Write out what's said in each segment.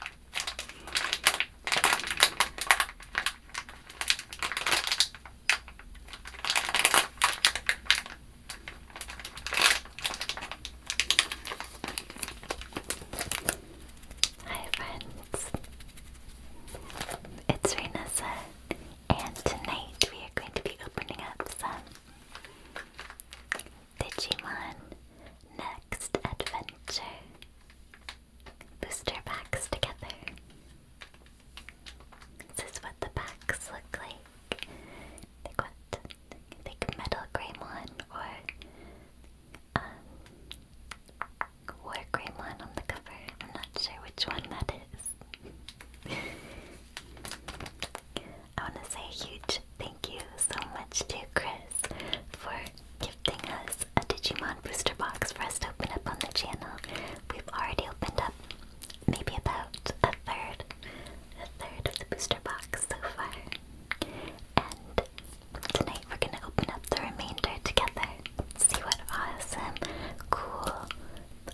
Hi friends, it's Renessa, and tonight we are going to be opening up some Digimon Next Adventure. Booster packs together. This is what the packs look like. I what? I think Metal Greymon or um, War Greymon on the cover. I'm not sure which one that is. I want to say huge Thank you so much to Chris for gifting us a Digimon booster box for us to open up on the channel. We've already opened up maybe about a third, a third of the booster box so far. And tonight we're gonna open up the remainder together. See what awesome, cool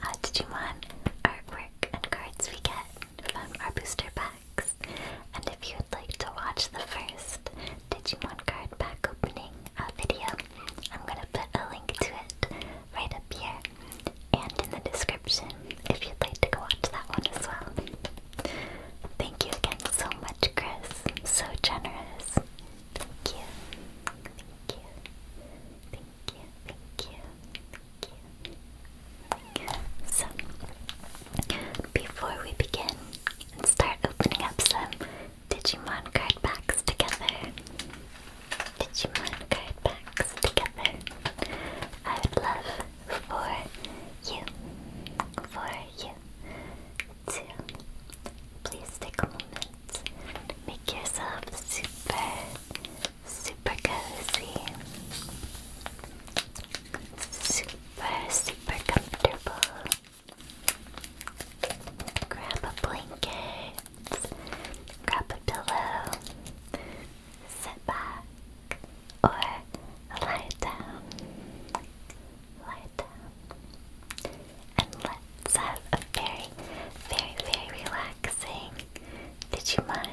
uh, Digimon artwork and cards we get from our booster box. And if you'd like to watch the first Digimon card pack opening uh, video, I'm gonna put a link to it right up here and in the description if you'd like to go watch that one as well. Thank you again so much, Chris. So generous. Thank you. Thank you. Thank you. Thank you. Thank you. So, before we begin and start opening up some Digimon card packs together, Digimon card packs together, I would love for you, for you to please take a moment, make yourself super, super cozy. Super super, super comfortable. Grab a blanket, grab a pillow, sit back, or lie down. Lie down. And let's have a very, very, very relaxing did you Digimon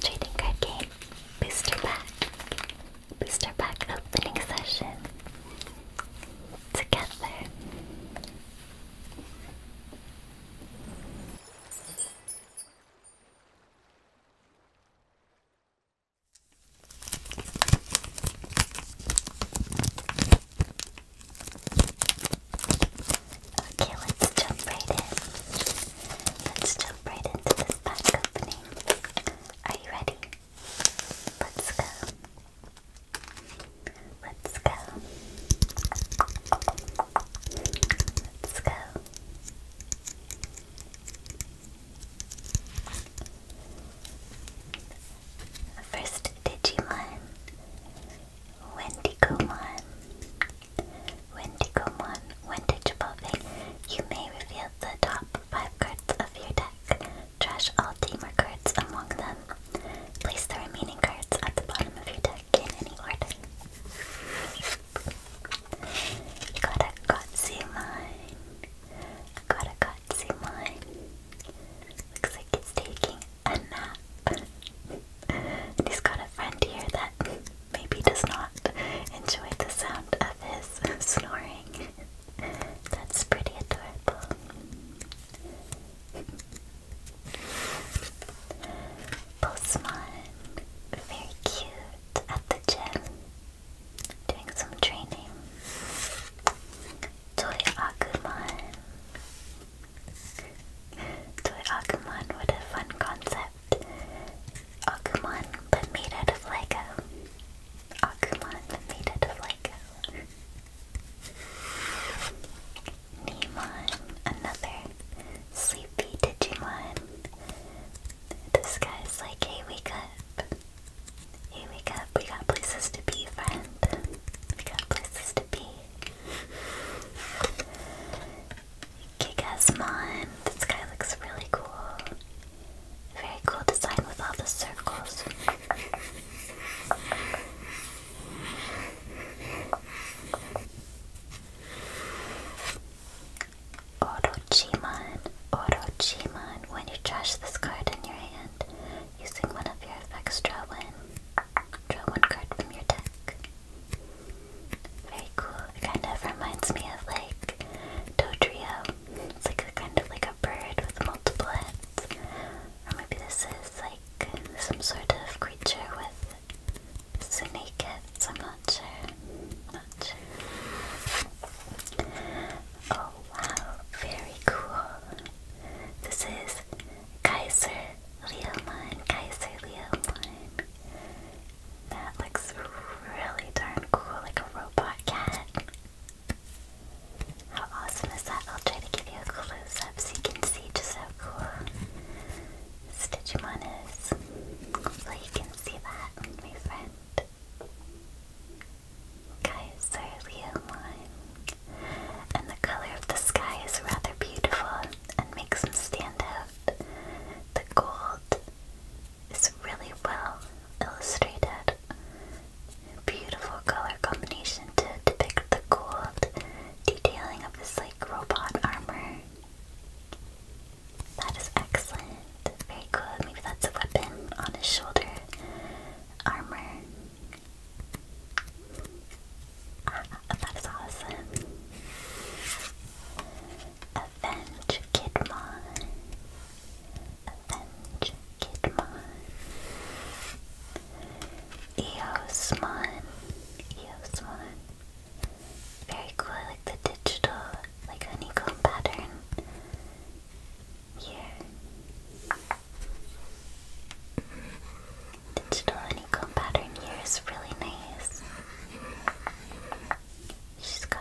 trading card game booster pack booster pack opening session together. Okay, let's jump right in. Let's jump right into this pack opening. Are you ready? Let's go. Let's go. Let's go. First Digimon, Wendigomon, Wendigomon, Wendigipove. You may reveal the top five cards Trash all team records. among them. Place the remaining cards at the bottom of your deck in any order. got a Gotsi mine. Got a Gotsi mine. Looks like it's taking a nap. he's got a friend here that maybe does not enjoy the sound of his snoring. That's pretty adorable. Postman, very cute at the gym, doing some training. Toy Akuman. Toy Akuman, what a fun concept. Agumon, but made out of Lego. Agumon, but made out of Lego. Neemon, another sleepy Digimon. This guy's like, hey, wake up. Hey, wake up. We got places to be, friend. We got places to be. Kigasmon. This guy looks really cool. Very cool design with all the circles. Orochiman, Orochiman, when you trash this card in your hand, using one of your effects, draw one. Draw one card from your deck. Very cool. It kind of reminds me of like Dodrio it's like a kind of like a bird with multiple heads. Or maybe this is like some sort of creature with snake heads. I'm not sure. Not sure. Oh wow, very cool. This is Kaiser Leomine. Kaiser Leomine. That looks really darn cool, like a robot cat. How awesome is that? I'll try to give you a close up so you can see just how cool this Digimon is. Hopefully you can see that, my friend. Guys are Leomon. And the color of the sky is rather beautiful and makes them stand out. The gold it's really well illustrated. Beautiful color combination to depict the cool detailing of this like robot armor. That is excellent. Very cool. Maybe that's a weapon on his shoulder. Armor. Ah, that is awesome. Avenge Kidmon. Avenge Kidmon. Eosmon. Eosmon. Very cool, I like the digital, like honeycomb pattern here. Digital honeycomb pattern here is really nice. She's got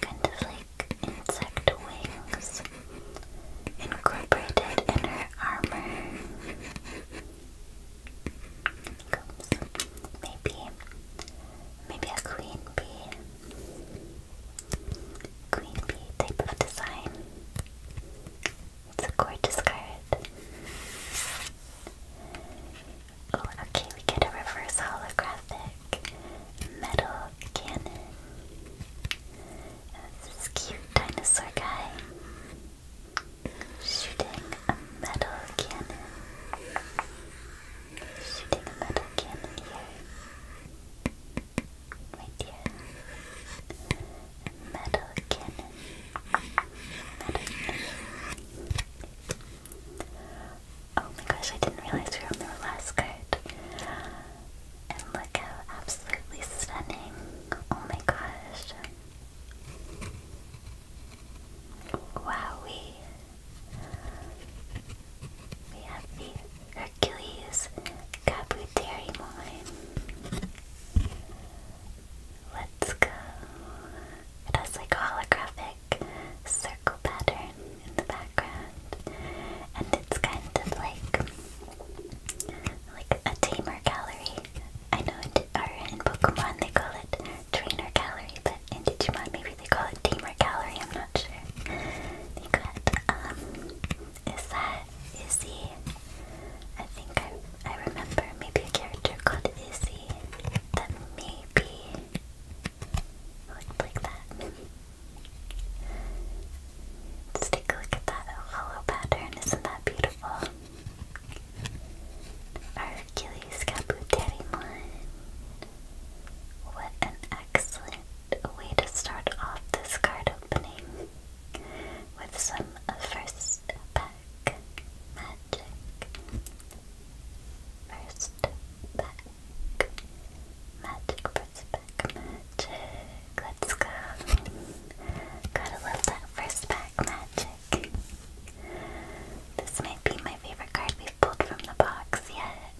kind of like insect wings incorporated in her armor. maybe maybe a queen bee. Queen bee type of design. It's a gorgeous card. Oh, okay, we get a reverse holographic metal cannon. this cute dinosaur guy shooting a metal cannon. Shooting a metal cannon here. Right here. metal cannon. Metal cannon. Oh my gosh, I didn't realize we were on the last card. And look how absolutely stunning. Oh my gosh. Wowie. We have the Hercules Cabuterimon. Let's go. It has like a holographic like circle pattern in the background, and it's kind of like like a tamer gallery. I know in, in Pokemon they call it trainer gallery, but in Digimon maybe they call it tamer gallery. I'm not sure. They got um, is that Izzy? I think I I remember maybe a character called Izzy that maybe like, like that. Let's take a look at that hollow pattern. Isn't that beautiful? Our Hercules Caputerimon. What an excellent way to start off this card opening with some first pack magic. First pack Magic first magic. Let's go. Gotta love that first magic. This might be my favorite card we've pulled from the box yet.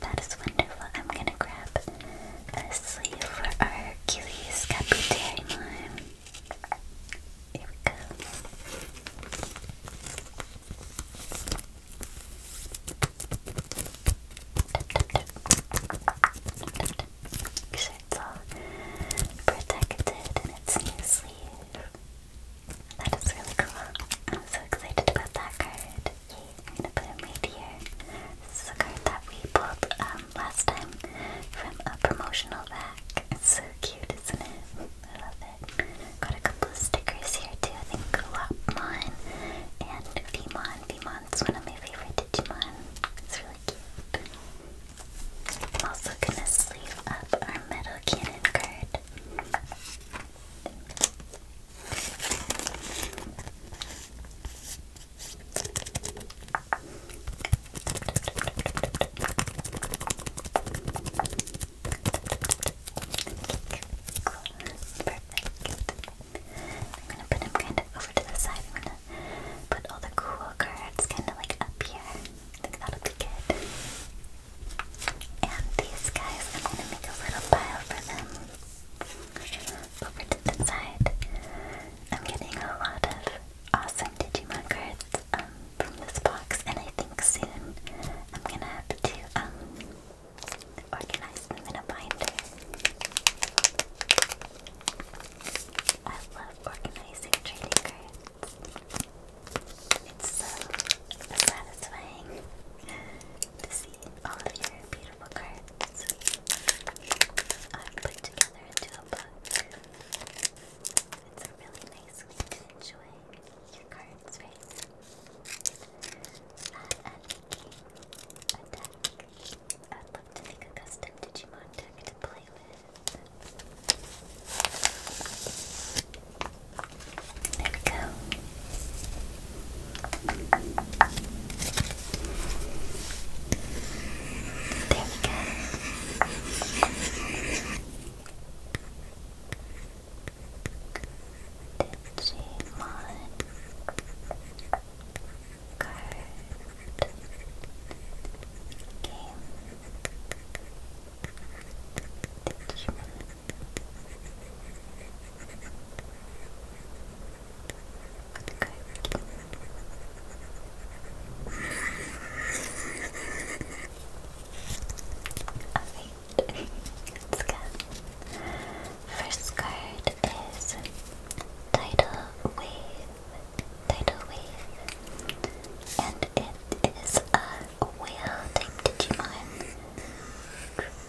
That is wonderful. I'm gonna grab a sleeve for our Achilles Capitaine. Here we go. Make sure all protected in its new sleeve. That is really cool. I'm so excited about that card. Yay, I'm gonna put him right here. This is a card that we pulled um, last time from a promotional pack. It's so cute, isn't it? I love Got a couple of stickers here too. I think Galopmon and Vemon. Vemon's one of my favorite Digimon. It's really cute. I'm also gonna sleeve up our metal cannon card. Perfect. I'm gonna put him kind of over to the side. I'm gonna put all the cool cards kind of like up here. I think that'll be good. And these guys, I'm gonna make a little pile for them. Over to the side. I'm getting a lot of awesome Digimon cards. Um, from this box, and I think soon I'm gonna have to um organize them in a binder. I love organizing trading cards. It's so satisfying to see all of your beautiful cards put together into a book. It's a really nice way to enjoy your cards bird's face. Fly King Attack. I'd make a custom Digimon deck to There we go. There we go. Digimon you game Digimon card game. First card is Tidal Wave. Tidal Wave. And it is a whale type Digimon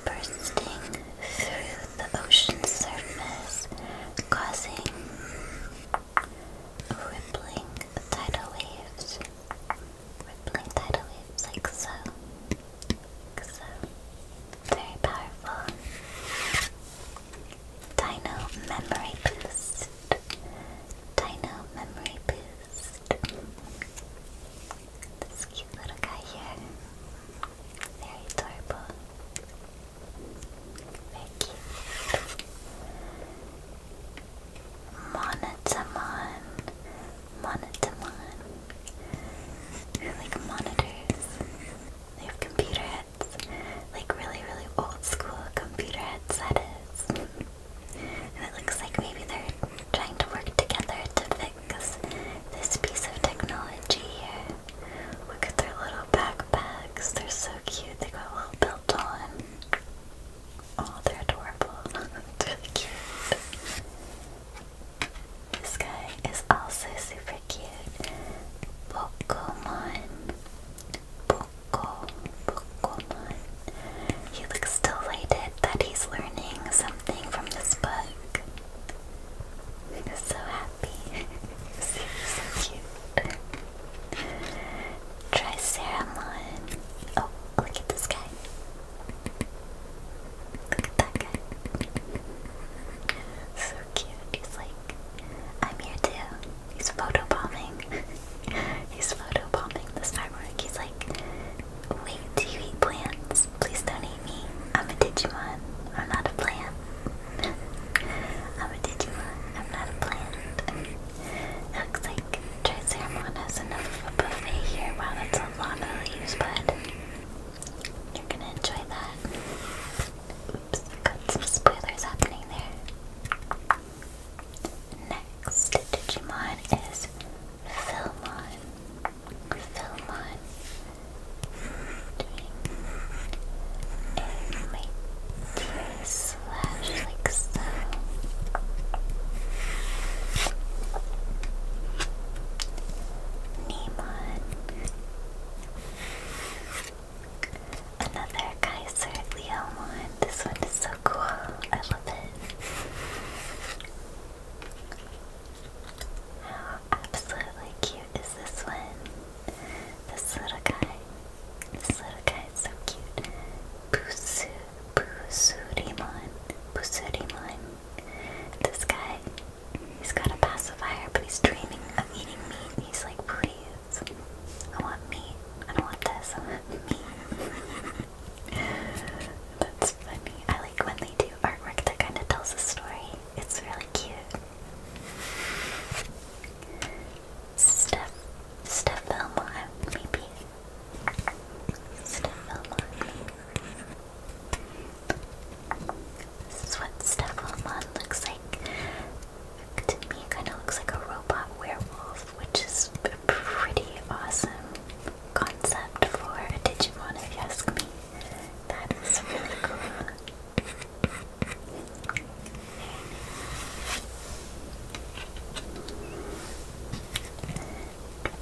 bursting through the ocean surface, causing rippling tidal waves with like tidal waves, like so. Like so. Very powerful. Dino memory boost. Dino memory boost. This cute little guy here. Very adorable. Very Monotamon. Monotamon. They're like monitors. They have computer heads. Like really, really old school computer heads, that is. and it looks like maybe they're trying to work together to fix this piece of technology here. Look at their little backpacks. They're so cute. They got a little belt on. Oh, they're adorable. it's really cute. This guy is also super cute. Pokemon. Poco. Pokemon. He looks delighted that he's learning something from this book. He's so happy. so cute. Triceramon. Oh, look at this guy. Look at that guy. So cute. He's like, I'm here too. He's photobombing. He's photobombing this artwork. He's like, wait, do you eat plants? Please don't eat me. I'm a Digimon. I'm not a plant. I'm a Digimon. I'm not a plant. Looks like Tricermona's enough of a buffet here. Wow, that's a lot of leaves, bud. You're gonna enjoy that. Oops, got some spoilers happening there. Next Digimon is Filmon. Filmon. Doing a slash like Another Kaiser Leomon. This one is so cool. I love it. How absolutely cute is this one? This little guy. This little guy is so cute. Busu. Busurimon. Busurimon. This guy, he's got a pacifier, but he's dreaming of eating meat. he's like, please, I want meat. I don't want this. I want meat. That's funny. I like when they do artwork that kind of tells a story. It's really cute. Steph, Steph Belmont, maybe. This is what Stavomon looks like. To me, kind of looks like a robot werewolf, which is a pretty awesome concept for a Digimon, if you ask me. That is really cool.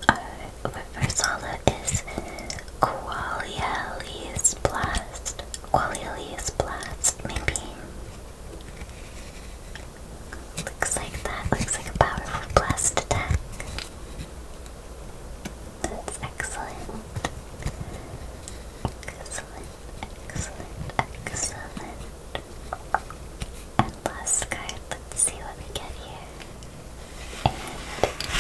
Our uh, Riversala is Qualiali's Blast. Qualiali's Blast, maybe. Looks like that. Looks like a powerful blast attack. That's excellent. Excellent, excellent, excellent last card. Let's see what we get here.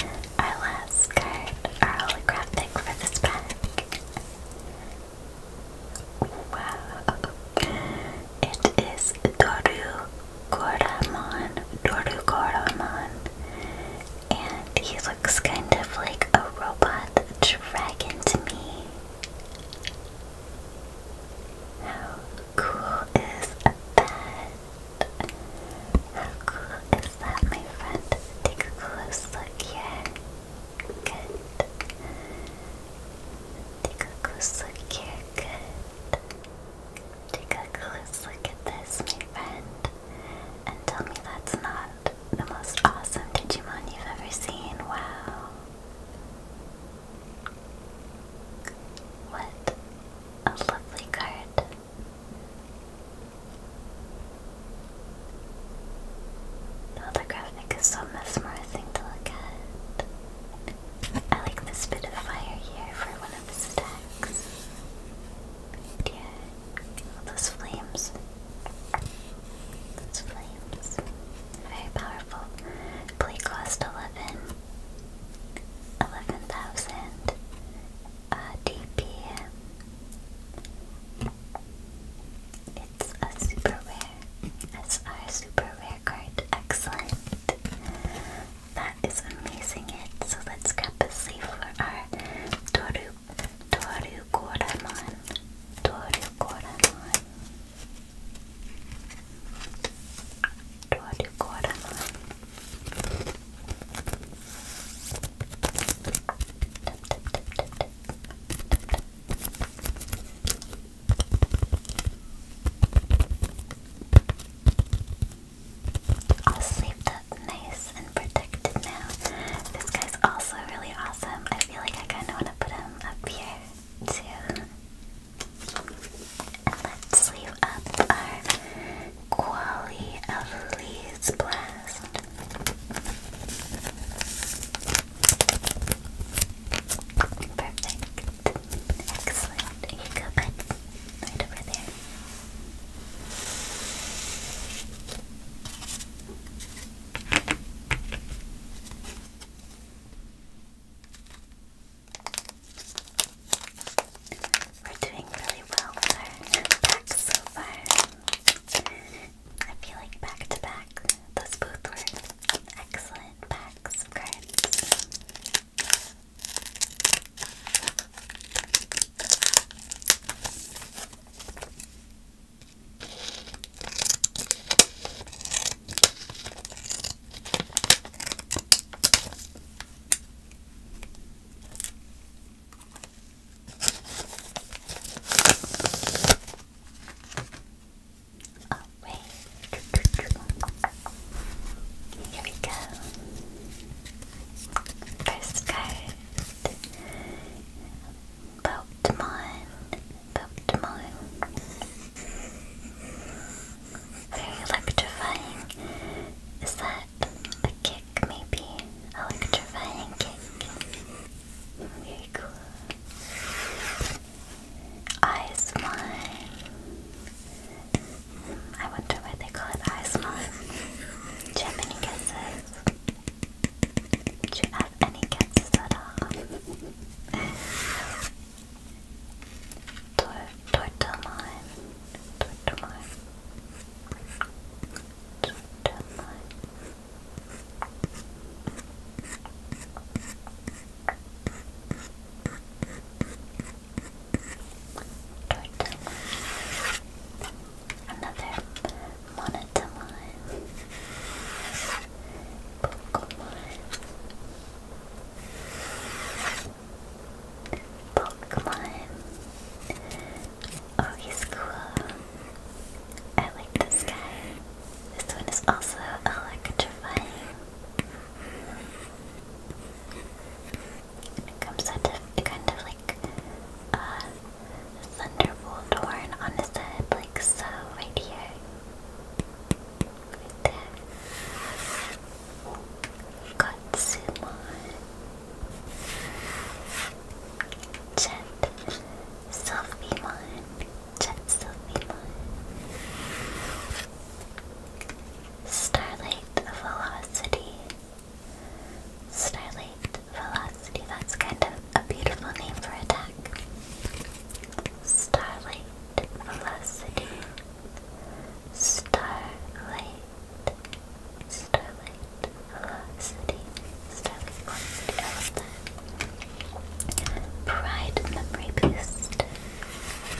And our last card, our holographic for this pack. Wow. It is Doru Goramon. And he looks kind of like a robot dragon to me. How cool is that? How cool is that, my friend? Take a close look here. Good. Take a close look here. Good. Take a close look at this, my friend. And tell me that's not the most awesome Digimon you've ever seen. Wow. What a lovely card. The holographic is so mesmerizing to look at. I like this bit of fire here for one of his attacks. Yeah, those flames. Those flames. Very powerful. Play cost 11. 11,000 uh, DPM. It's a super rare. That's our super rare card. Excellent. That is amazing. It. So let's grab a sleeve for our Doru Doru Koramon. Doru Koramon. I'll sleep that nice and protected now. This guy's also really awesome. I feel like I kind of want to put him up here too. Let's leave up our quality of Lee's Blast. Perfect. Excellent. You go, bud. Right over there. We're doing really well with our pack so far. I feel like back to back, those both were excellent packs of Alright. Here we go. First card. Pokemon. Pokemon. Very electrifying. Is that a kick, maybe? Electrifying kick. Very cool. Eyes mine. I wonder why they call it eyes mine. Do you have any guesses? Do you have any guesses at all? Tor Tortelmine. Tortelmine. Tortelmine. Another Monotamine. Pokemon. Oh, cool. I like this guy. This one is also electrifying. comes out of kind of like a thunderbolt horn on his head, like so, right here right there. Katsumon. Jet Sophiemon. Jet Sophiemon. Starlight Velocity. Starlight Velocity. That's kind of a beautiful name for attack. Starlight velocity, starlight, starlight, velocity, starlight, velocity, Pride memory boost.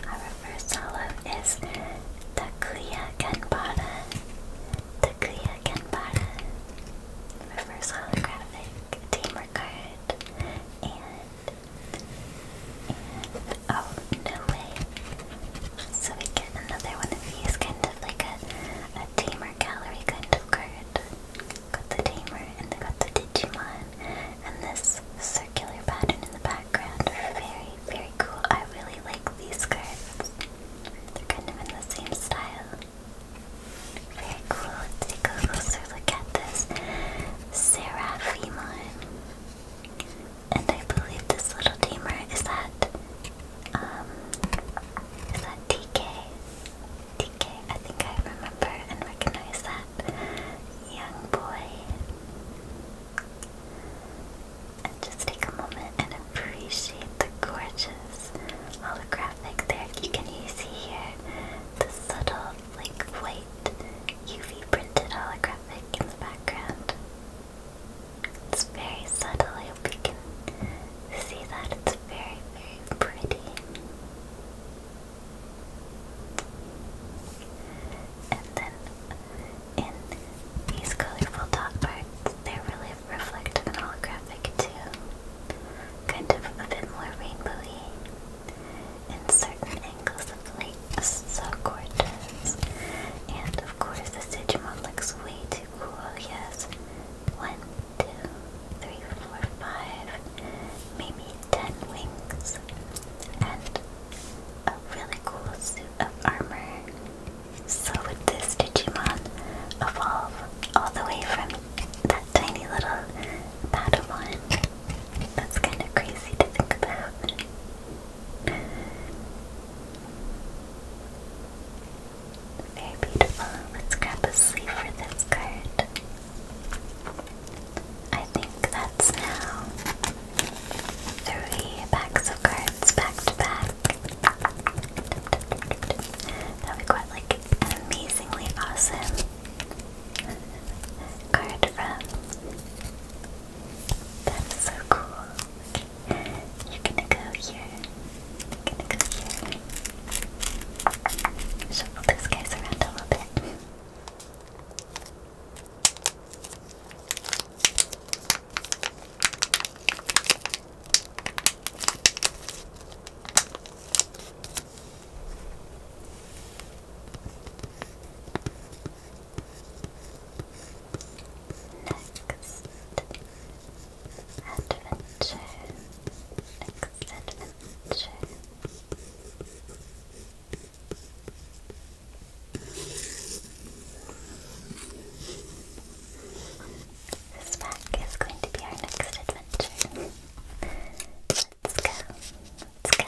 Our reverse hollow is Takuya Kanbata. Takuya Kanbata. Reverse holographic tamer card. And and, oh, no way. So we get another one of kind of like a, a tamer gallery kind of card. Got the tamer, and then got the Digimon, and this circular pattern in the background. Very, very cool. I really like these cards. They're kind of in the same style. Very cool. Let's take a closer look at this. Sarah Seraphimon. And I believe this little tamer is that um is that TK? TK, I think I remember and recognize that young boy. And just take a moment and appreciate the gorgeous holographic there you can see here. The subtle like white UV printed holographic in the background. It's very subtle, I hope you can see that. It's very, very pretty. And then in these colorful dot parts, they're really reflective and holographic too. Kind of a bit more rainbowy in certain angles of Lake Socortes. And of course, the Digimon looks way too cool. He one, two, three, four, five, maybe ten wings, and a really cool suit of armor. So would this Digimon evolve all the way from that tiny little Padawan that's kind of crazy to think about. Very beautiful. Let's grab a sleeve for this card. I think that's now three packs of cards back back. That we got like an amazingly awesome card from. That's so cool. You're gonna go here. You're gonna go here. Shuffle those guys around a little bit. Next adventure. Next adventure. This pack is going to be our next adventure. Let's go. Let's go. Put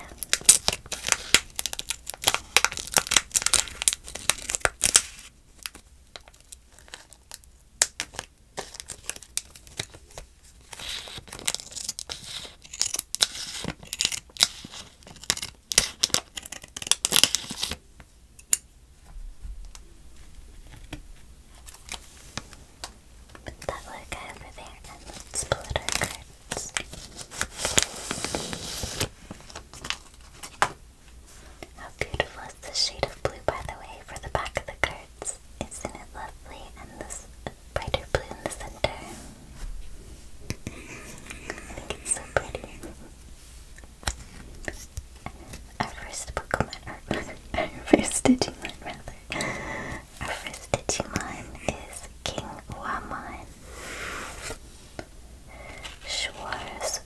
that logo over there and let's split our card cards. How beautiful is the shade of blue, by the way, for the back of the cards? Isn't it lovely? And this brighter blue in the center. I think it's so pretty. Our first Pokemon, our, our first Digimon rather, our first Digimon is King Wamon. Schwarz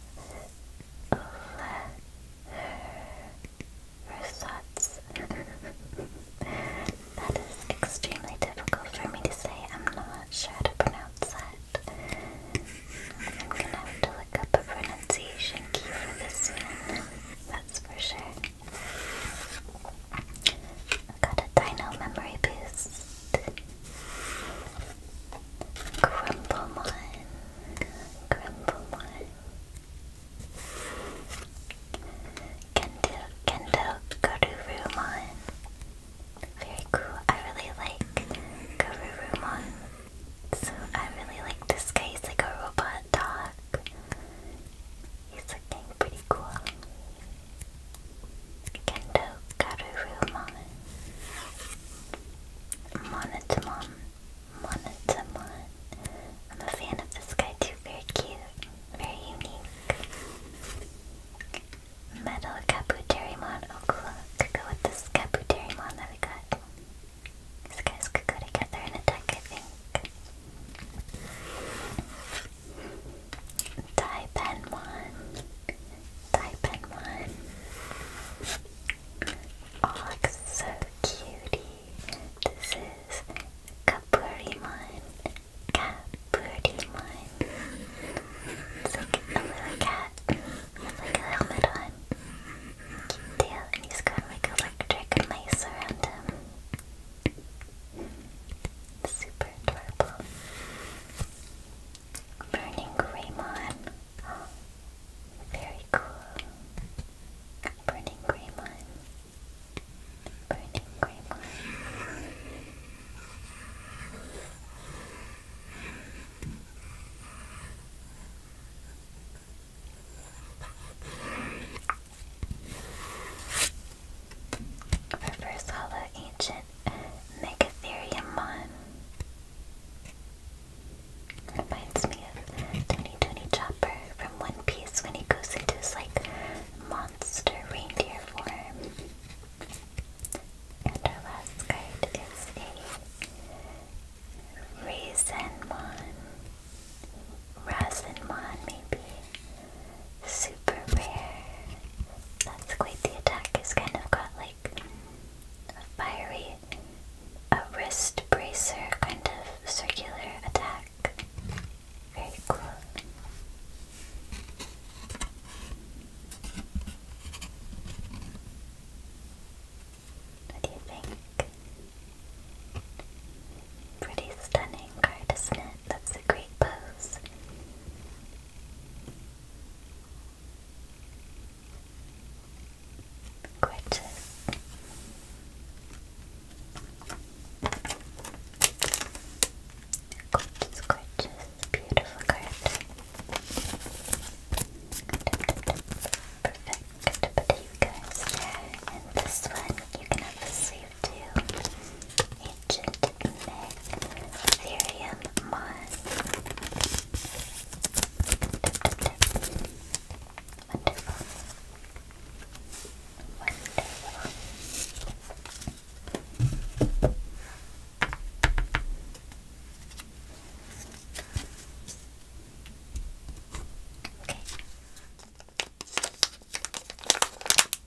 Versatz. that is extremely difficult for me to say. I'm not sure to pronounce that. I'm gonna have to look up a pronunciation key for this one. That's for sure. Got a dino memory boost. Grumblemon. Grumblemon. Kendo Kendo Garurumon. Very cool. I really like Garurumon. So I really like this guy. He's like a robot dog. He's looking pretty cool. Kendo Garuru Mon. Monotamon. I'm a fan of this guy too. Very cute. Very unique. Metal Kabuterimon. Oh cool. Could go with this Kabuterimon that we got. These guys could go together and attack, I think. Taipanmon, Taipanmon. Oh, so cutie. This is Kapurimon, Kapurimon. It's like a little cat with like a helmet on. Cute tail, and he's got like electric mice around him. Super adorable. Burning Greymon. very cool. Burning Greymon. Burning Greymon. Reverse Hollow Ancient Megatheriumon. Reminds me of Tony Tony Chopper from One Piece when he goes into his like monster reindeer form. And our last card is a Razenmon. Razenmon maybe super rare. That's quite the attack. It's kind of got like a fiery, a wrist bracer kind of circular attack. Very cool. What Pretty stunning card, isn't it? That's a great pose. Gorgeous. Gorgeous, gorgeous. Beautiful card. Perfect. Put you guys there. And this one, you can have the sleeve to Ancient Megatherium Moss. Wonderful. Wonderful. Okay.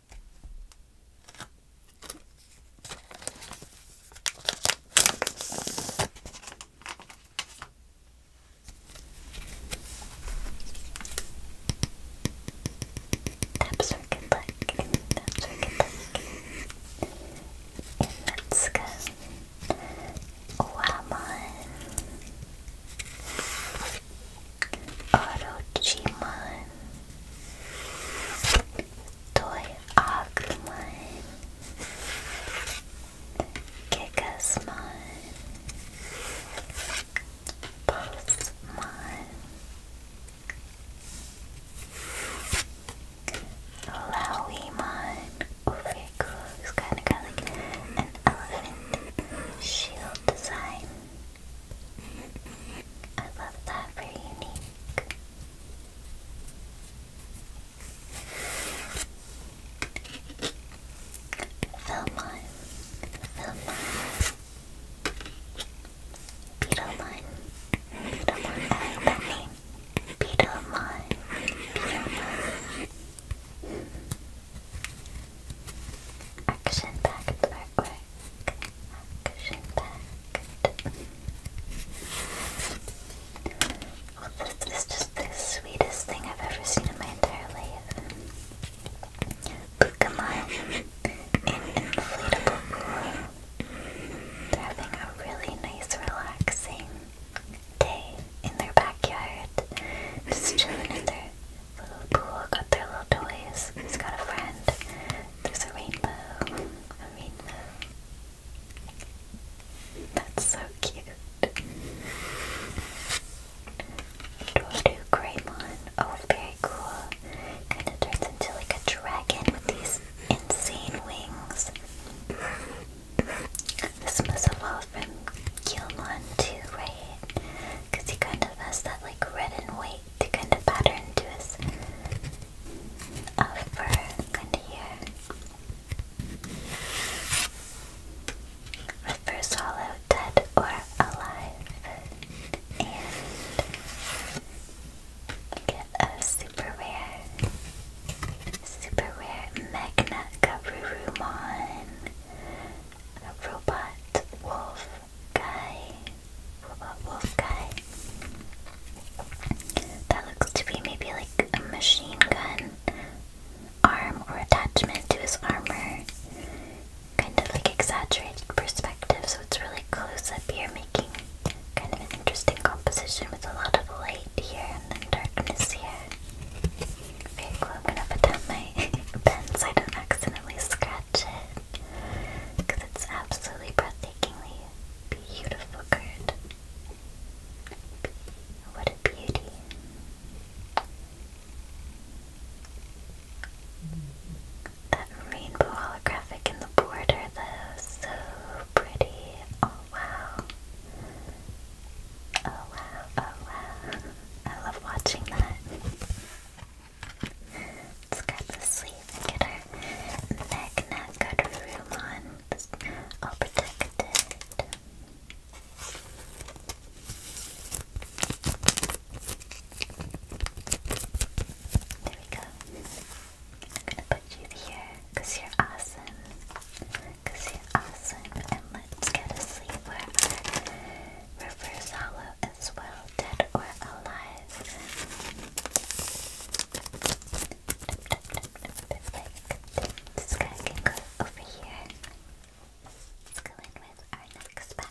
Tap circuit Tap circuit let's go. Wamon. Orochiman Toy Agumon Gigasmon Pulsemon it's kinda got like an elephant shield design I love that, very unique. Filmon, Filmon, Beetlemon, Beetlemon, I love that name. Beetlemon, Beetlemon. Action-packed artwork. Action-packed. this is just the sweetest thing I've ever seen in my entire life. Pokemon in inflatable pool. having a really nice, relaxing day in their backyard. Just chilling in their Boo-Boo got their little toys. He's got a friend. There's a rainbow. A rainbow. That's so cute. Doodoo Greymon. Oh, very cool. Kind of turns into like a dragon with these insane wings. This must evolve from Gilmon too, right? because he kind of has that like red and white kind of pattern to his uh, fur kind of hair. Refers hollow, dead, or alive, and a super rare, super rare Magna Garurumon, a robot wolf guy. Robot wolf guy. That looks to be maybe like a machine gun arm or attachment to his armor. Kind of like exaggerated perspective, so it's really close up here, making kind of an interesting composition with a lot of light here and then darkness here. Very cool. I'm going pens I don't accidentally scratch because it's absolutely breathtakingly beautiful card. What a beauty. That rainbow holographic in the border though, so pretty. Oh wow. Oh wow, oh wow. I love watching that. Let's grab the sleeve and get our Magna on. all protected. There we go. I'm gonna put you here, you you're awesome. you you're awesome. And let's get a sleeve where our hollow as well dead or alive. This guy can go over here. Let's go in with our next pack.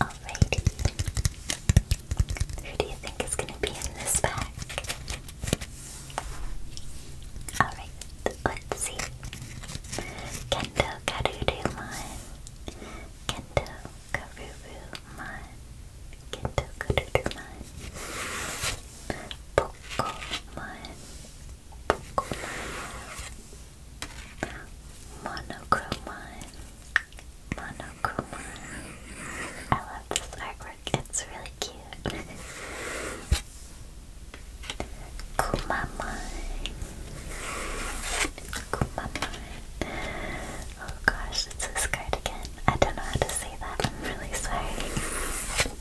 Alrighty. Who do you think is going to be in this pack? Alright, let's see. Kendo Karurumon. Kendo Karurumon. Kendo Karurumon. Pokemon. Monochromine. Monochromine. I love this artwork, it's really cute. Kumamine. Kumamine. Oh gosh, it's this card again. I don't know how to say that, I'm really sorry.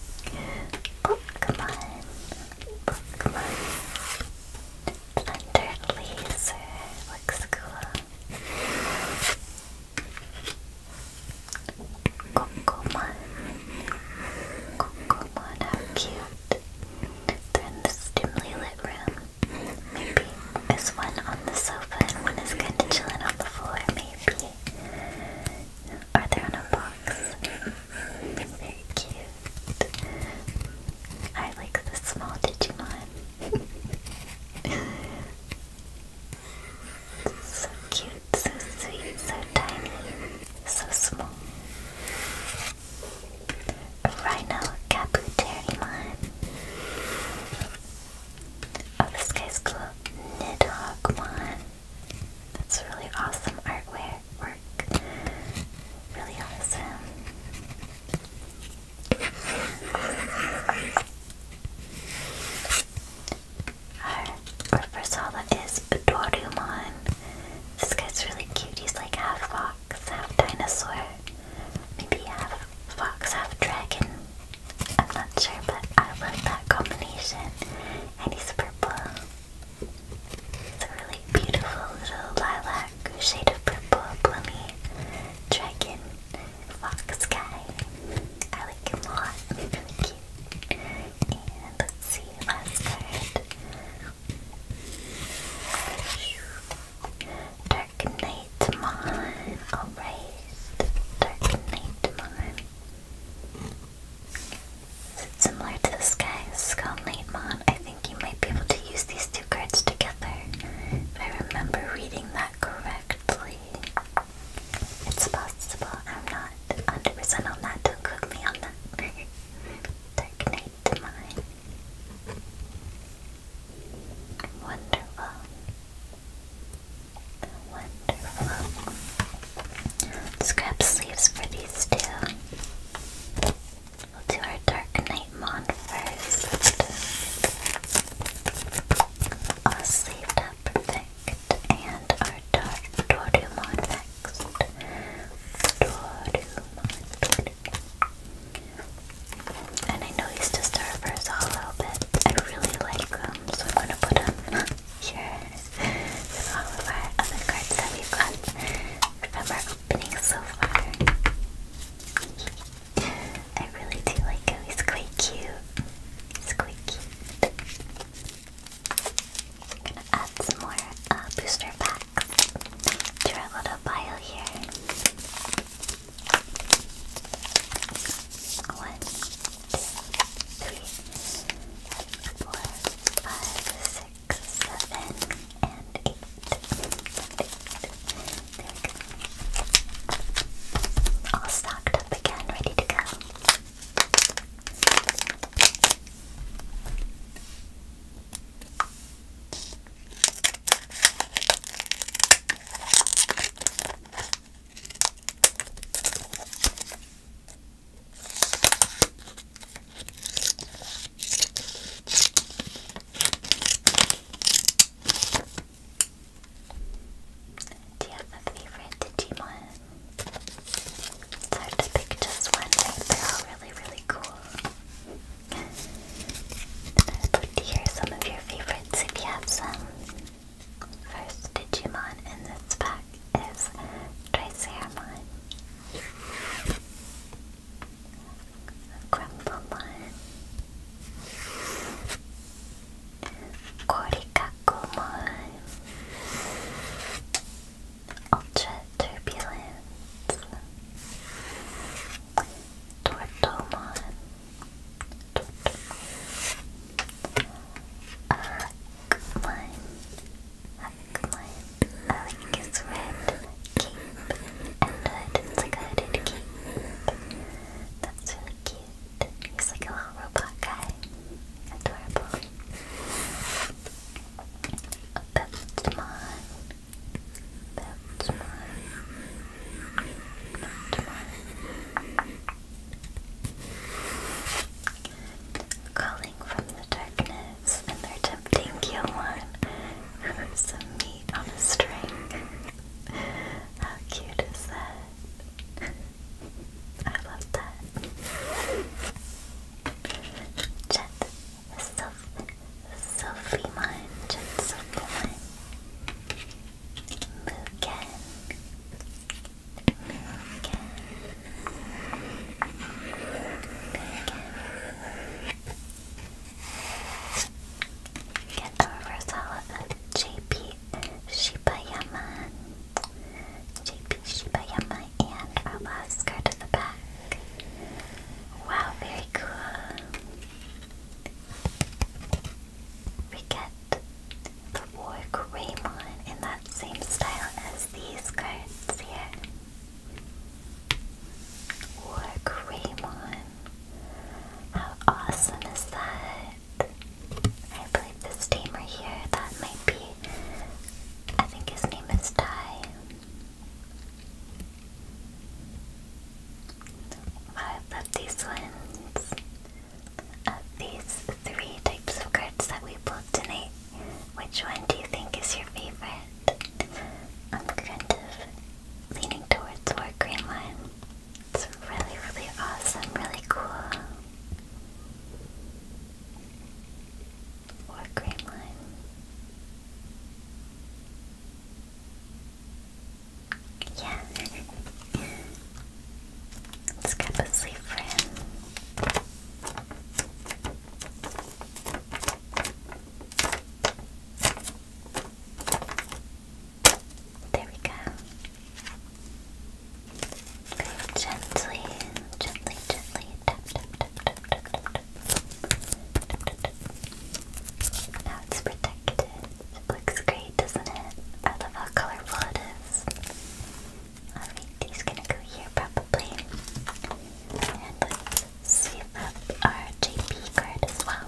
Oh, come on. Bookmark. Under laser. Looks cool. Kokomon. Kokomon, how cute. They're in this dimly lit room. Maybe there's one on the sofa and one is kind of chilling on the floor, maybe. Are they on a box? They're very cute. I like the small Digimon. so cute, so sweet, so tiny, so small. Rhino Kabuterimon. Oh, this guy's cool. Nidhoggmon. That's really awesome artwork. Really awesome. Our Ursula is Dorumon. This guy's really cute. He's like half fox, half dinosaur. Maybe half fox, half dragon. I'm not sure, but I love that combination. And he's purple. It's a really beautiful little lilac shade of purple plummy dragon fox guy. I like him a lot. Really cute. And let's see, last card. Dark Knight Mon. Alright. Dark Knight Mon. Is it similar to this guy's Skull Nightmon? I think you might be able to use these two cards together. If I remember reading that correctly. It's possible. I'm not 100% on that. Don't quote me on that. Dark Knight to Wonderful. Wonderful let sleeves for these two. We'll do our Dark Knight Mon first. All sleeved perfect. And our Dark Dorumon next. Dorumon, Dorumon. And I know he's just a reverse hollow, but I really like him, so I'm gonna put him here of our other cards that we've got from our opening so far. I really do like him, he's quite cute. quite cute. gonna add some more uh, booster packs to our little bio here. One, two, three, four, five, six, six, seven, and eight. All stocked up again, ready to go. Do you have a favorite Digimon? It's to pick just one, They're all really, really cool. I'd love to hear some of your favorites if you have some. First Digimon in this pack is Triceramon, Grumblemon, Korikakumon, Ultra Turbulence, Tortomon, Tortomon, I my like his red cape and hood. It's like a hooded cape. That's really cute. He's like a little robot guy. Adorable. A Pepsmon. Pepsmon. Pepsmon. Calling from the darkness. And when they're tempting Gilmon for some meat on a string. How cute is that? I love that. Chat Sophie Sophie Mine, Chat Sophie Mine. Mugen. Mugen. Get Urasawa of JP Shibayama. JP Shibayama and our last the back. Wow, very cool. We get the Warg Raymon in that same style as these cards here. Or Greymon. How awesome is that? I believe this tamer here, that might be. I think his name is Ty. I love these ones. these three types of cards that we pulled tonight, which one do you think is your favorite? I'm kind of leaning towards war green one. It's really, really awesome, really cool. War green one. Yeah. Let's grab a sleeve for there we go. Gently, gently, gently Now it's protected. It looks great, doesn't it? I love how colorful it is. Alright, he's gonna go here probably. And let's save up our JP card as well.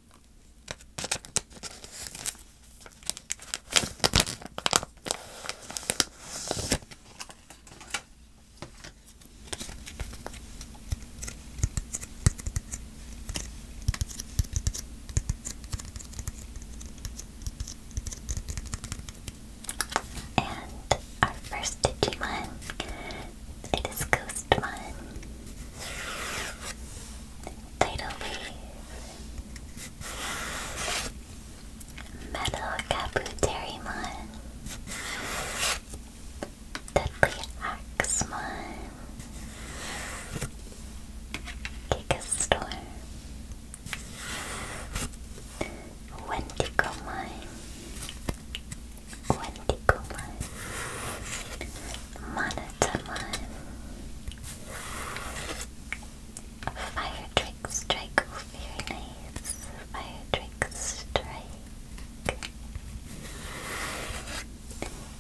And our first Digimon, it is Ghostmon. Tidal Metal Kabuterimon Deadly Axemon Gigastorm Wendigomon Wendigomon Monotomon Fire Trick Strike over your knives Fire Strike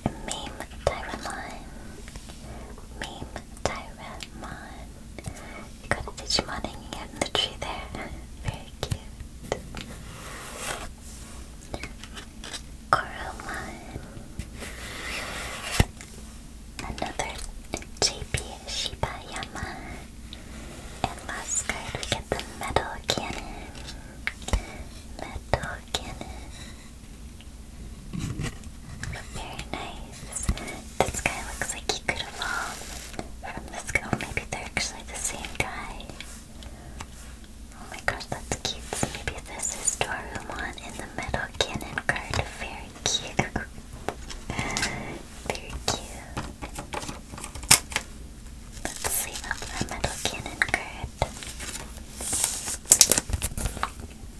Meme Tyramon Meme Tyramon You got a Digimon hanging out in the tree there Very cute Coromon Another JP Shiba Yama. And last card we get the metal cannon. Metal cannon. Very nice. This guy looks like he could evolve from this guy. Oh, maybe they're actually the same guy. Oh my gosh, that's cute. maybe this is one in the metal cannon card. Very cute. Very cute. Let's sleeve our metal cannon card.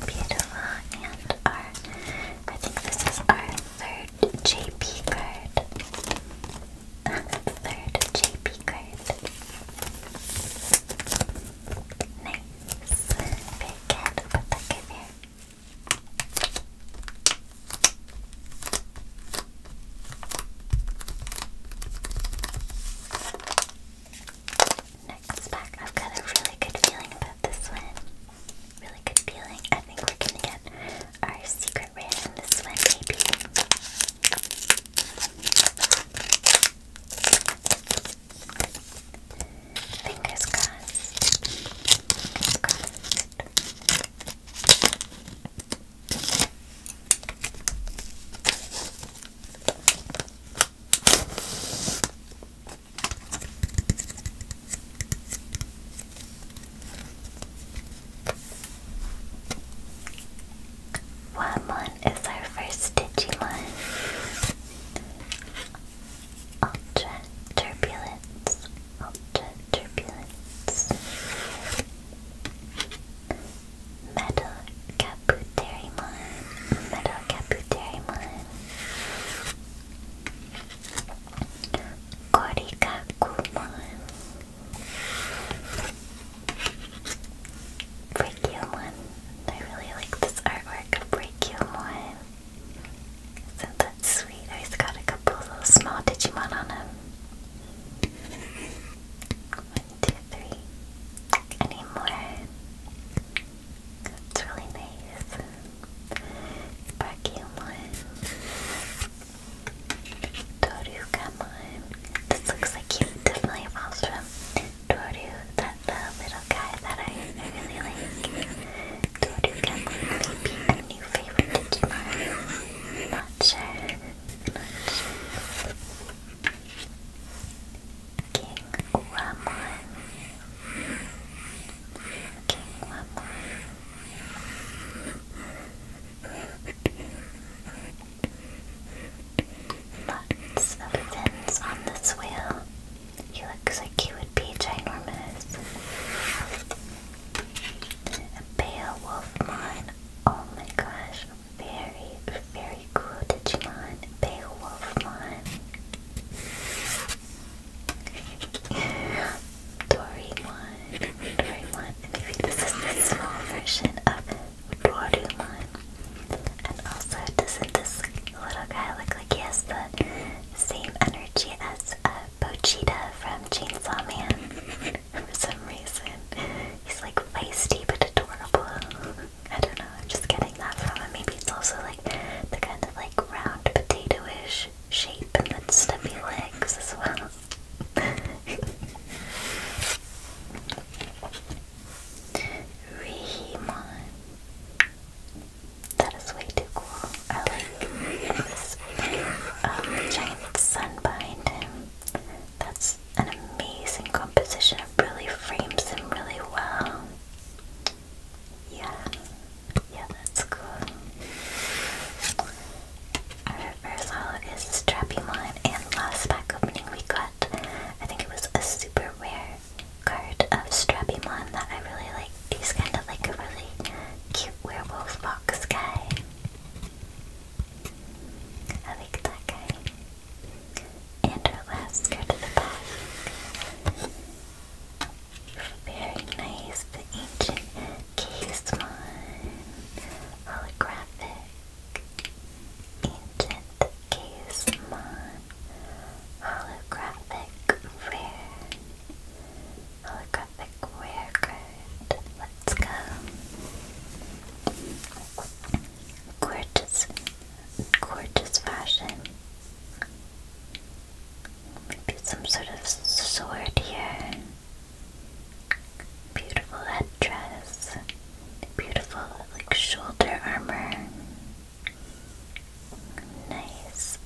Beautiful. And our, I think this is our third JP card. third JP card. Nice. Next pack, I've got a really good feeling about this one. Really good feeling. I think we're gonna get our secret rare in this one, maybe. Fingers crossed. is our first Digimon. Ultra turbulence, ultra turbulence. Metal Caputerimon, Metal Caputerimon. Korikakumon. Breakumon. I really like this artwork of Breakumon. Isn't that sweet? Oh, he got a couple little small Digimon on him. One, two, three. Any more? That's really nice. Breakumon. Torugamon. This looks like he definitely evolves from Toru, that the little guy that I really like. Toru can maybe a new favorite Digimon. Not sure. Not sure. King Wamon. King Lots of fins on this wheel. He looks like he would be ginormous. A Beowulf Mon. Oh my gosh. Very, very cool Digimon. Beowulf Mon. Dorimon. Maybe this is the small version of Dorumon. And also, doesn't this little guy look like he has the same energy as uh, Bochita from Chainsaw Man? For some reason, he's like feisty but adorable. I don't know, I'm just getting that from him. Maybe it's also like the kind of like round potato ish shape and the stubby legs as well. Rihimon. That is way too cool. I like this um, giant sun behind him. That's an amazing composition. It really frames him really well. Yeah. Yeah, that's cool. Our first holo is Strappymon, and last pack opening we got, I think it was a super rare card of Strappy Mon that I really like. He's kind of like a really cute werewolf box guy. I like that guy. And our last card of the pack. Very nice, the ancient Casemon holographic. Ancient the Gazemon Holographic Rare. Holographic Rare Let's go. Gorgeous. Gorgeous fashion. Maybe some sort of sword here. Beautiful headdress. Beautiful like shoulder armor. Nice.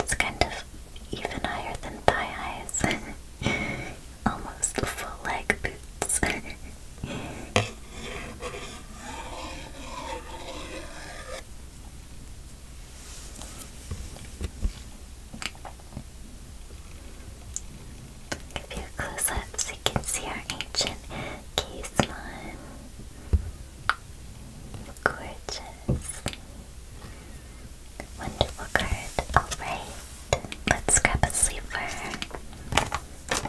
It's kind of even higher than thigh highs. Almost full leg boots. Give you a close up so you can see our ancient case one. Gorgeous. Wonderful card. Alright, let's grab a sleeper.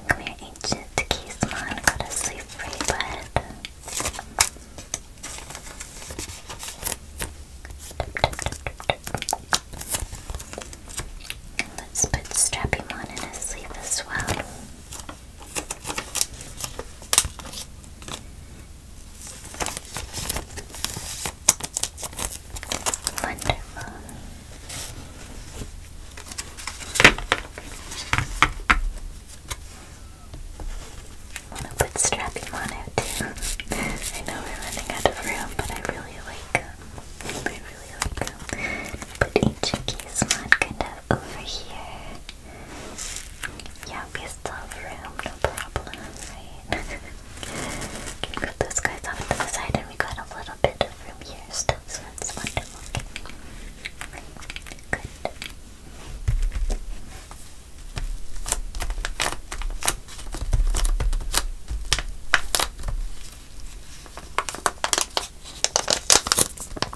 Come here, ancient Keysmon. Got a sleep for you, Let's put Strappymon in his sleeve as well. Wonderful. I'm gonna put strapping on too. I know we're running out of room, but I really like I really like them. Put on kind of over here. Yeah, we still have room, no problem, Can put those guys off to the side and we got a little bit of room here still, so that's wonderful. Okay. Good.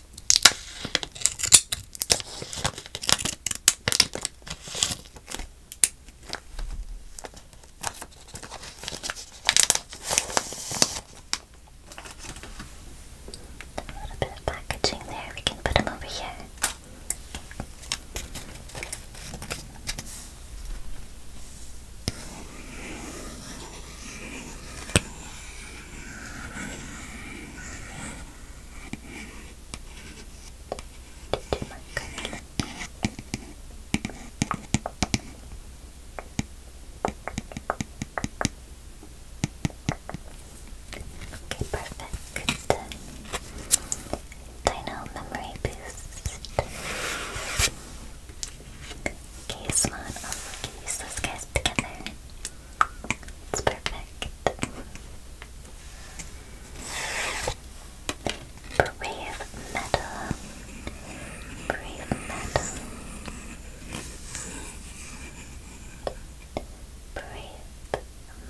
A little bit of packaging there, we can put them over here. Okay, perfect. Dino memory boost. Okay, Swan, I'll you together. It's perfect. Brave metal. Brave metal. Brave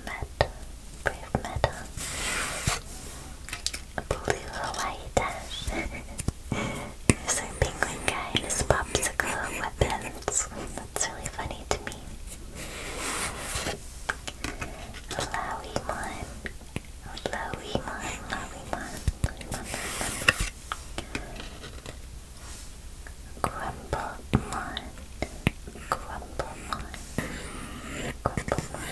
metal. Brave metal. Blue Hawaii Dash. There's penguin guy popsicle weapons. It's really funny to me. Lawimon. Lawimon. Lawimon. Lawimon. Grumblemon. Grumblemon. Grumblemon.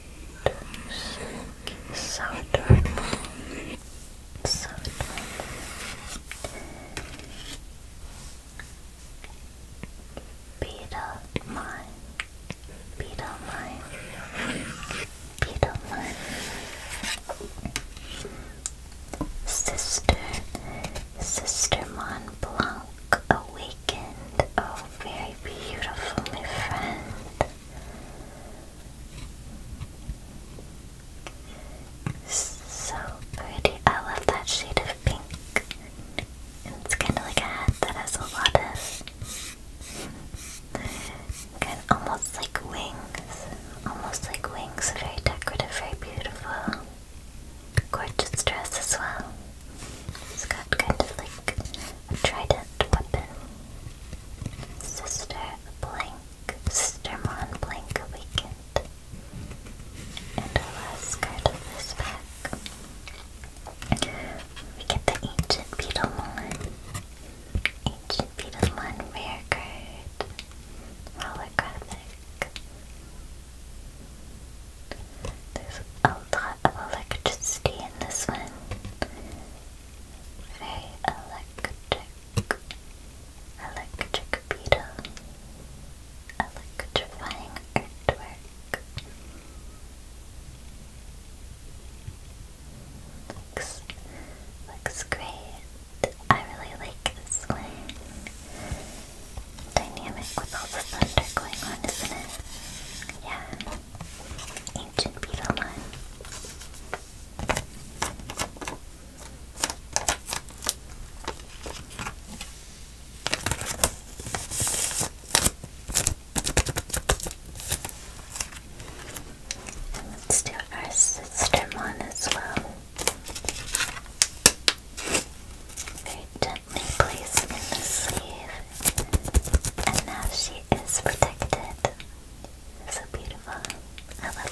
Saturn, Saturn. Beta mine, beta mine, beta mine. Sister, Sister Mont awakened. Oh, very beautiful, my friend. So pretty. I love that shade of pink. it's kind of like a hat that has a lot kind almost like wings. Almost like wings. Very decorative, very beautiful. Gorgeous dress as well. It's got kind of like Trident weapon. Sister blank. Sister Mon blank awakened. And our last card of this pack. We get the Ancient Beetlemon. Ancient Beetlemon rare card. Holographic. There's a lot of electricity in this one. Very electric, electric beetle, electrifying earthwork. Looks, looks great. I really like this one. Dynamic with all the thunder going on, isn't it? Yeah. And let's do our sister one as well. Very gently placed in the sleeve, and now she is protected. So beautiful. I love it.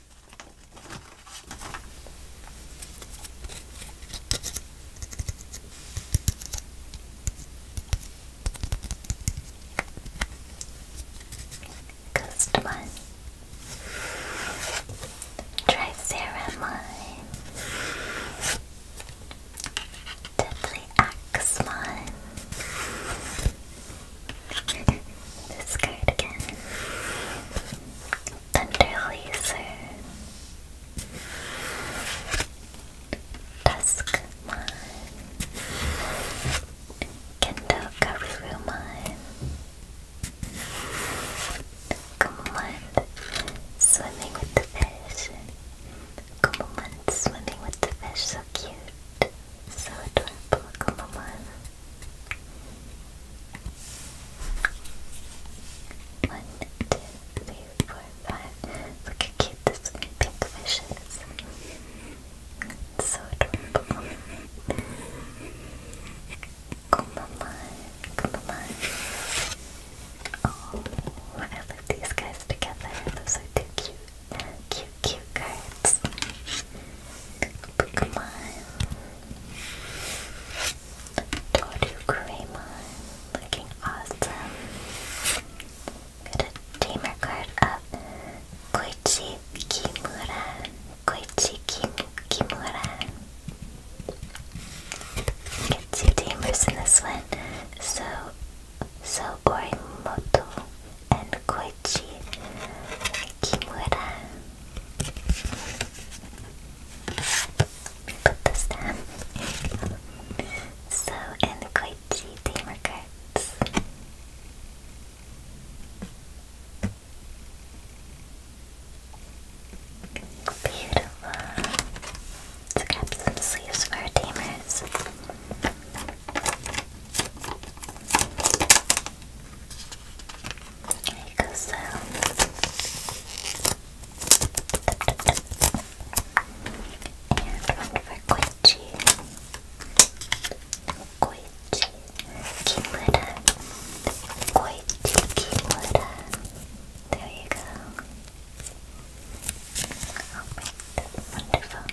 Customize. Try Ceramine. Deadly Axe Mine. this card again. Thunder Laser, Duskmon, Kendo Garurumon, Kumamon, Swimming with the Fish, Kumamon swimming with the fish, so cute, so adorable, Kumamon. One, two, three, four, five. Look how cute this pink fish so adorable. Come on, come on. Oh, I love these guys together. Those are too cute. Cute, cute cards. Pokemon. Tortu Crema, looking awesome. Got a tamer card of Koichi Kimura. Koichi Kim Kimura. Get two tamers in this one. So so Orimoto and Koichi Kimura. Put this down. so, and the Koichi Tamer cards. Beautiful. Let's grab sleeves for our like so. And for Quincy. Quincy Kimura. Quincy Kimura. There you go. Alright, wonderful.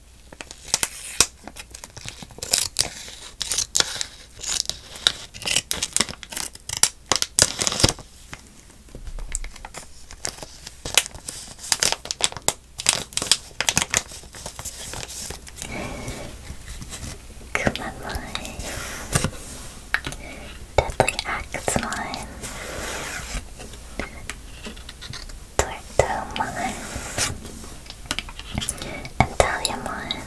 Kuma Mine Deadly Axe Mine Tortomon and Taliamon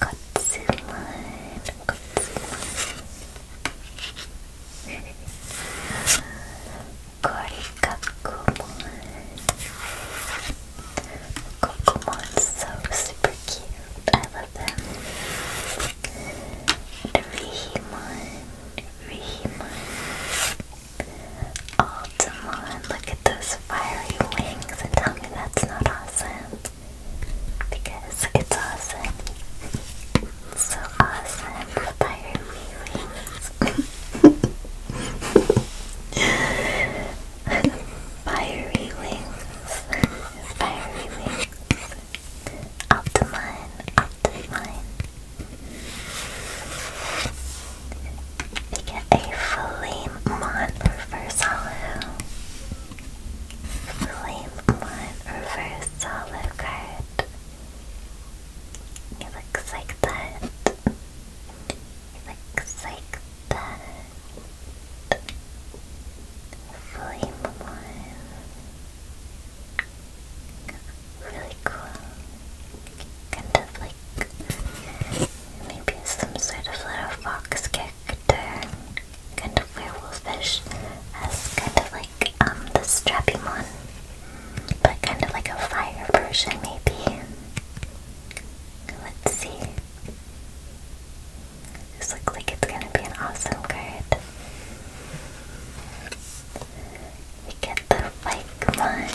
Kotsumon Kotsumon Gorikakumon Kokumon's so super cute, I love them Dorihimon Reem. Altamon, look at those fiery wings and tell me that's not awesome. Because it's awesome. It's so awesome, the fiery wings. fiery wings. Fiery wings. Up to We get a Flame Mon Reverse Hollow. Flame Mon Reverse Hollow card. It looks like that. It looks like that. Flame Mon really cool. Kind of like maybe some sort of little fox character, kind of werewolfish, as kind of like um the Strabimon, but kind of like a fire version maybe. Let's see. looks like it's gonna be an awesome card. We get the bike one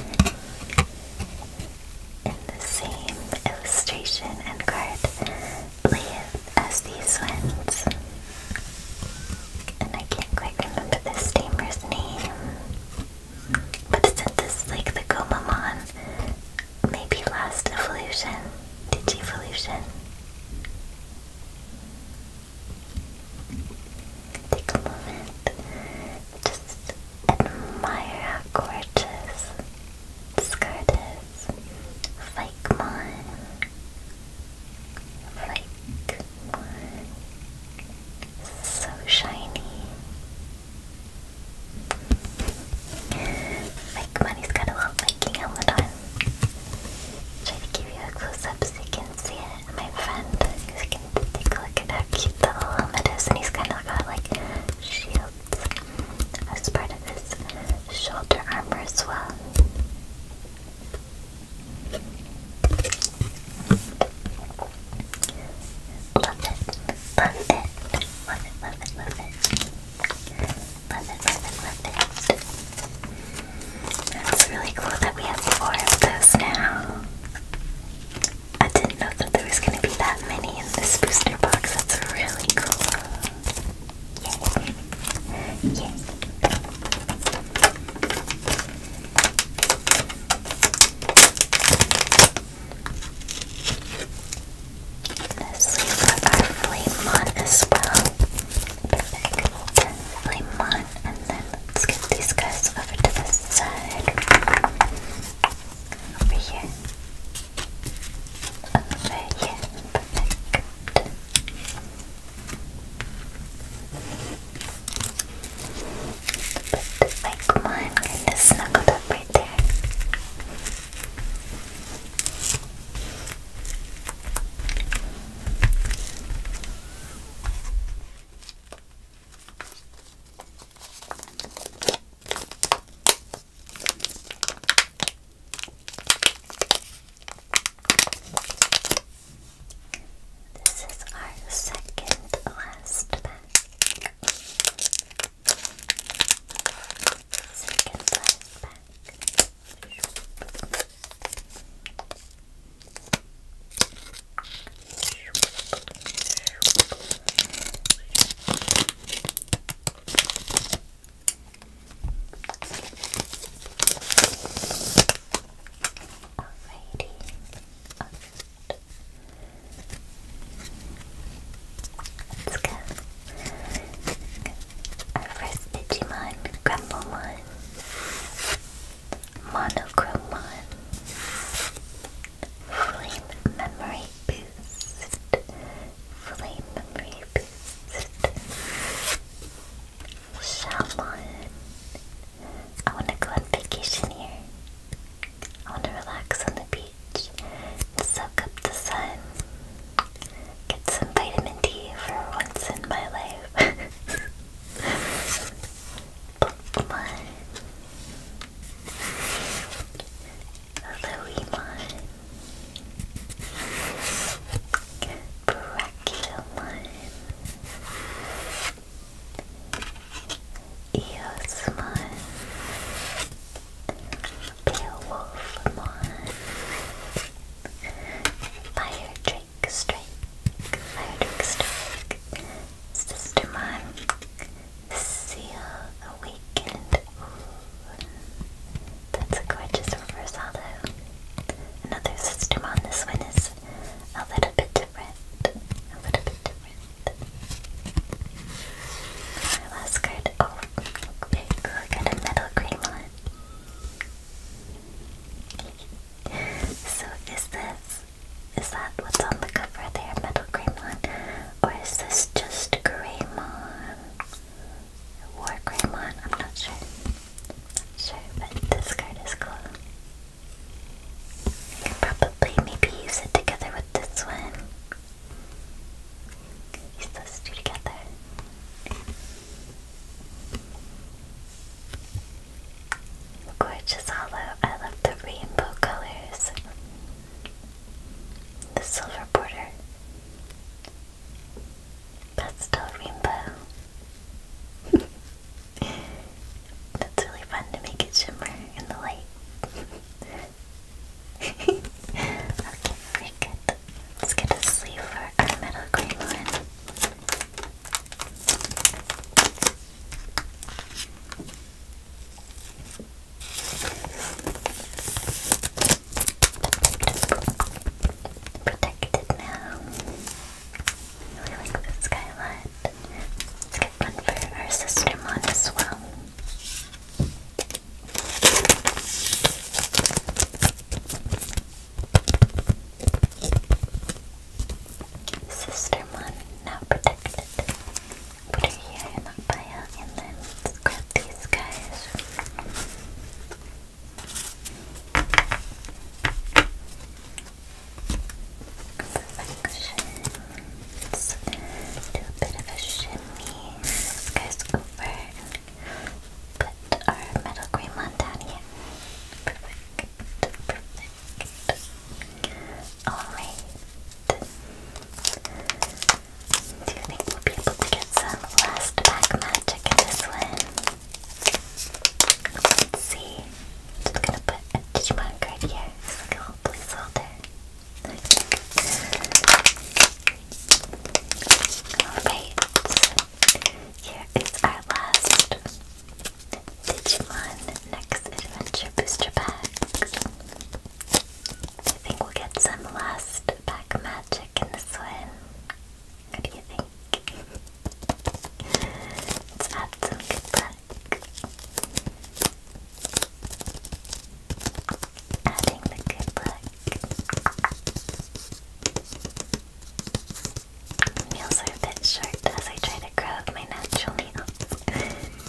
in the same illustration and card layout as these ones. And I can't quite remember the steamer's name. But isn't this like the Gomamon? Maybe last evolution? did Digivolution? Take a moment. Just admire how gorgeous this card is. Fikemon. Fikemon. So shiny. Fikemon, he's got a little clicking all the time. Try to give you a close up so you can see it. My friend, you can take a look at how cute the little helmet is, and he's kind of got like shields as part of his shoulder armor as well. love it, love it, love it, love it, love it, love it, love it. It's really cool that we have four of those now. I didn't know that there was going to be that many in this booster box. That's really cool. Yay. Yay. Let's leave our flame on as well. Perfect flame and then let's get these guys over to the side. Over here. Over here. Perfect. like one kind of snuggled up right there. This is our second last pack. Second last pack. Let's go. Our first Digimon, Grumblemon. Monochrome Flame Memory Boost, Flame Memory Boost, Shalon. I want to go on vacation here. I want to relax on the beach soak up the sun get some vitamin D for once in my life. Pokemon. Aloemon. Brachylmon. Eosmon. Beowulfmon. Fire Drake, Strike, Firedrake, Strike, Sister Mom, Seal, Awakened, that's a gorgeous reverse Another Sister Mom, this one is a little bit different, a little bit different. Our last card, oh, look at a metal green one. So is this is that what's on the cover there, Metal gray Greymon? Or is this just Greymon? War Greymon? I'm not sure. Not sure, but this card is cool. You can probably maybe use it together with this one. Use those two together. Gorgeous hollow. I love the rainbow colors. The silver border. Pastel rainbow. That's really fun to make it shimmer in the light. okay, we good. Let's get a sleeve for our metal green one. Protected now. really like this guy Let's get one for our sister Mon as well. Sister Mon now protected. Put her here in the bio and then grab these guys. Perfection. Do a bit of a shimmy. This guy's over and Put our metal cream on down here. Alright. Do you think we'll be able to get some last pack magic in this one? Let's see. just gonna put a Digimon card here. It's like a little Alright, here is our last Digimon Next Adventure Booster Pack. I think we'll get some last pack magic in this one. What do you think? Let's add some good luck. Adding the good luck. Nails are a bit sharp as I try to grab my natural nails.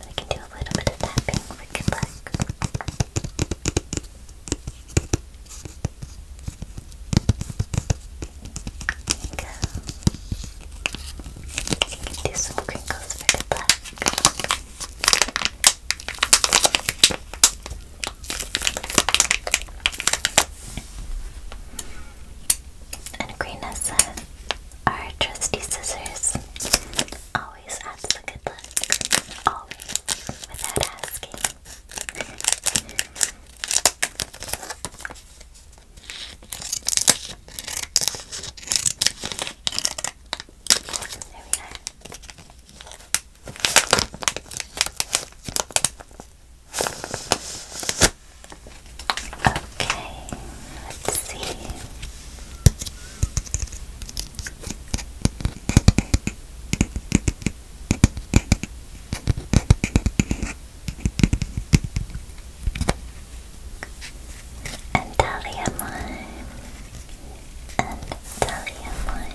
I can do a little bit of tapping for good luck. There you go. You can do some crinkles for good luck. And Karina said, our trusty scissors always adds the good look. Always, without asking. There we are. Okay, let's see. And mine. And mine.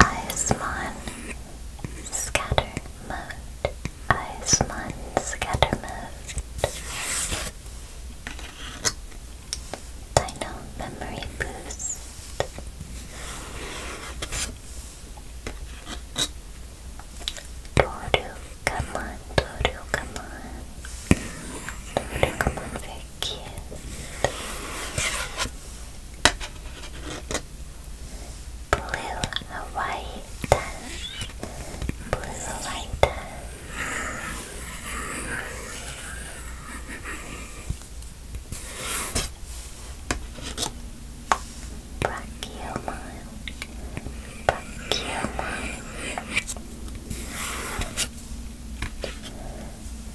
Ismon Scatter Mode. Ismon Scatter Mode. Dino Memory Boost. Toru, come on, Toru, come on. Toru, come on, very Blue Hawaii Dash Blue Hawaii Dash Brachiomile Brachiomile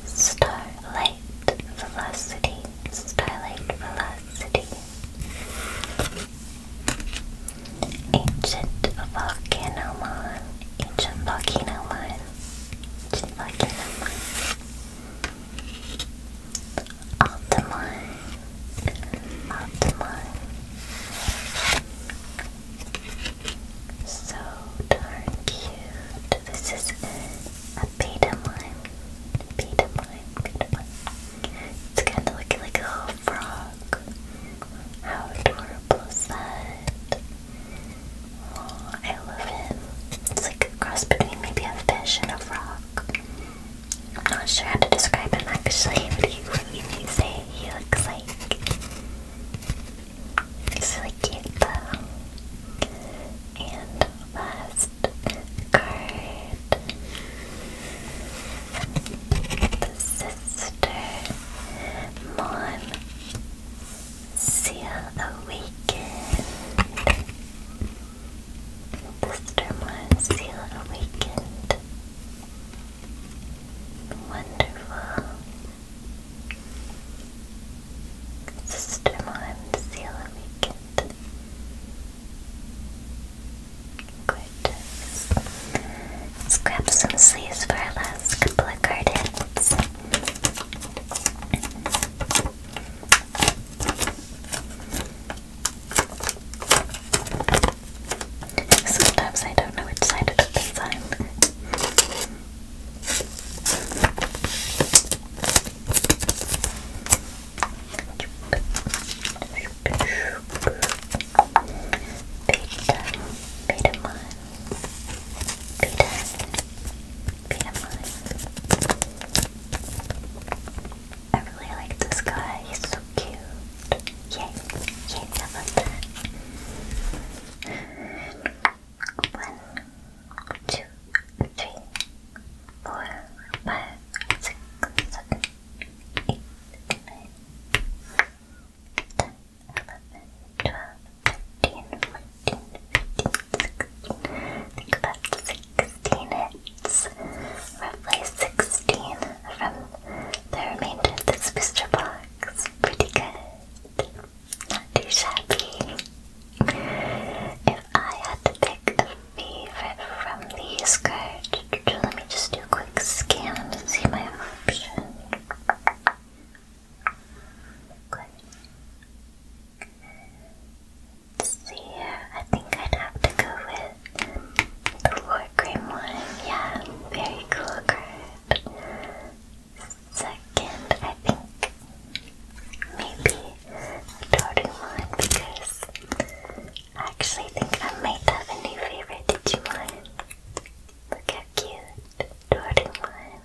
Starlight Velocity Starlight Velocity Ancient Volcanomon Ancient Volcanomon Ancient Volcanomon Altamon Altamon so darn cute. This is in a beta mime. It's kind of looking like a little frog. How adorable is that? Oh, I love him. It's like a cross between maybe a fish and a frog. I'm not sure how to describe him actually. What do you, say he looks like? It's really cute though. And last card the Sister Mon Seal Awakened. Sister Mon Awakened. Wonderful. Sister Mon Awakened. Gorgeous. Let's grab some sleeves for our last couple of card Sometimes I don't know which side it opens on. I really like this guy, he's so cute. Yay, yay, I One, two, three, four, five, six, seven, eight, nine, ten, eleven, twelve, thirteen, fourteen, fifteen, sixteen. Think about sixteen hits. Roughly sixteen from the remainder of this booster box. Pretty good. Not too shabby. If I had to pick pick favorite from these cards. Let me just do a quick scan to see my options. see I think I'd have to go with the Lord Grim one. Yeah, very cool Second, I think maybe Doraemon because I actually think I might have a new favorite Digimon. Look how cute, Doraemon.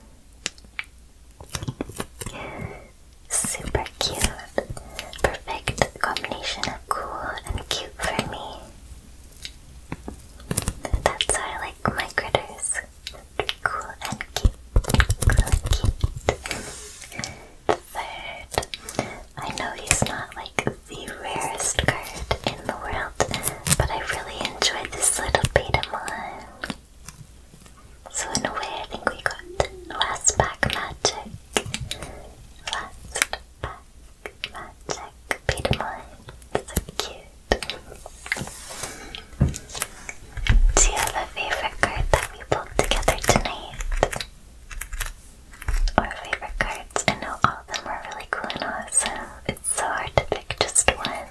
Super cute. Perfect combination of cool and cute for me. That's why I like my critters. Cool and cute. Crooked. Third. I know he's not like the rarest card in the world, but I really enjoyed this little Betamon. So in a way I think we got last pack magic. Last pack magic Betamon. So cute. Do you have a favorite card that we pulled together tonight? Or favorite cards? I know all of them are really cool and awesome. It's so hard to pick just one.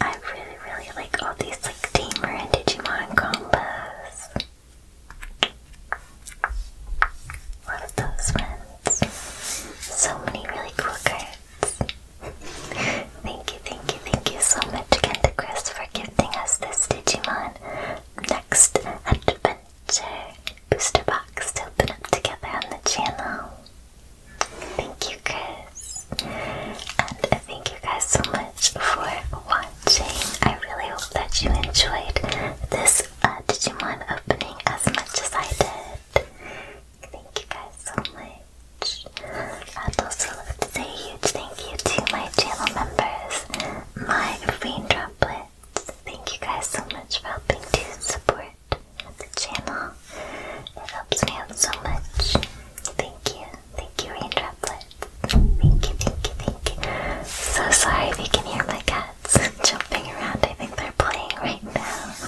I really, really like all these like Tamer and Digimon combos. Love those ones. So many really cool cards. Thank you, thank you, thank you so much again Chris for gifting us this Digimon Next Adventure booster box to open up together on the channel. Thank you, Chris. And thank you guys so much for watching. I really hope that you enjoyed this uh, Digimon opening as much as I did. Thank you guys so much. And also like to say a huge thank you to my channel members, my raindroplets. Thank you guys so much for helping to support the channel. It helps me out so much. Thank you. Thank you, raindroplets. Thank you, thank you, thank you. So sorry if you can hear my cats jumping around. I think they're playing right now.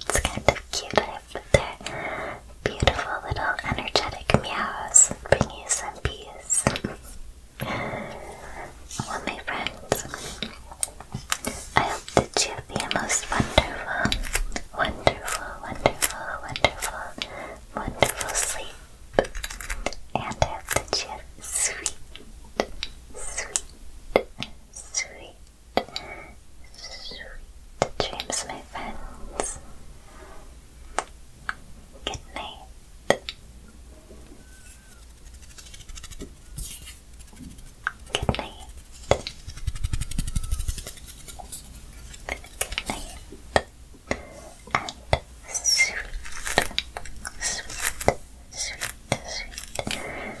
it's kind of cute. I put their beautiful little energetic meows bring you some peace. my friends, I hope that you have the most wonderful, wonderful, wonderful, wonderful, wonderful sleep. And I hope that you have sweet, sweet, sweet Sweet dreams, my friends. Good night. Good night. Good night. And sweet, sweet, sweet, sweet, sweet dreams.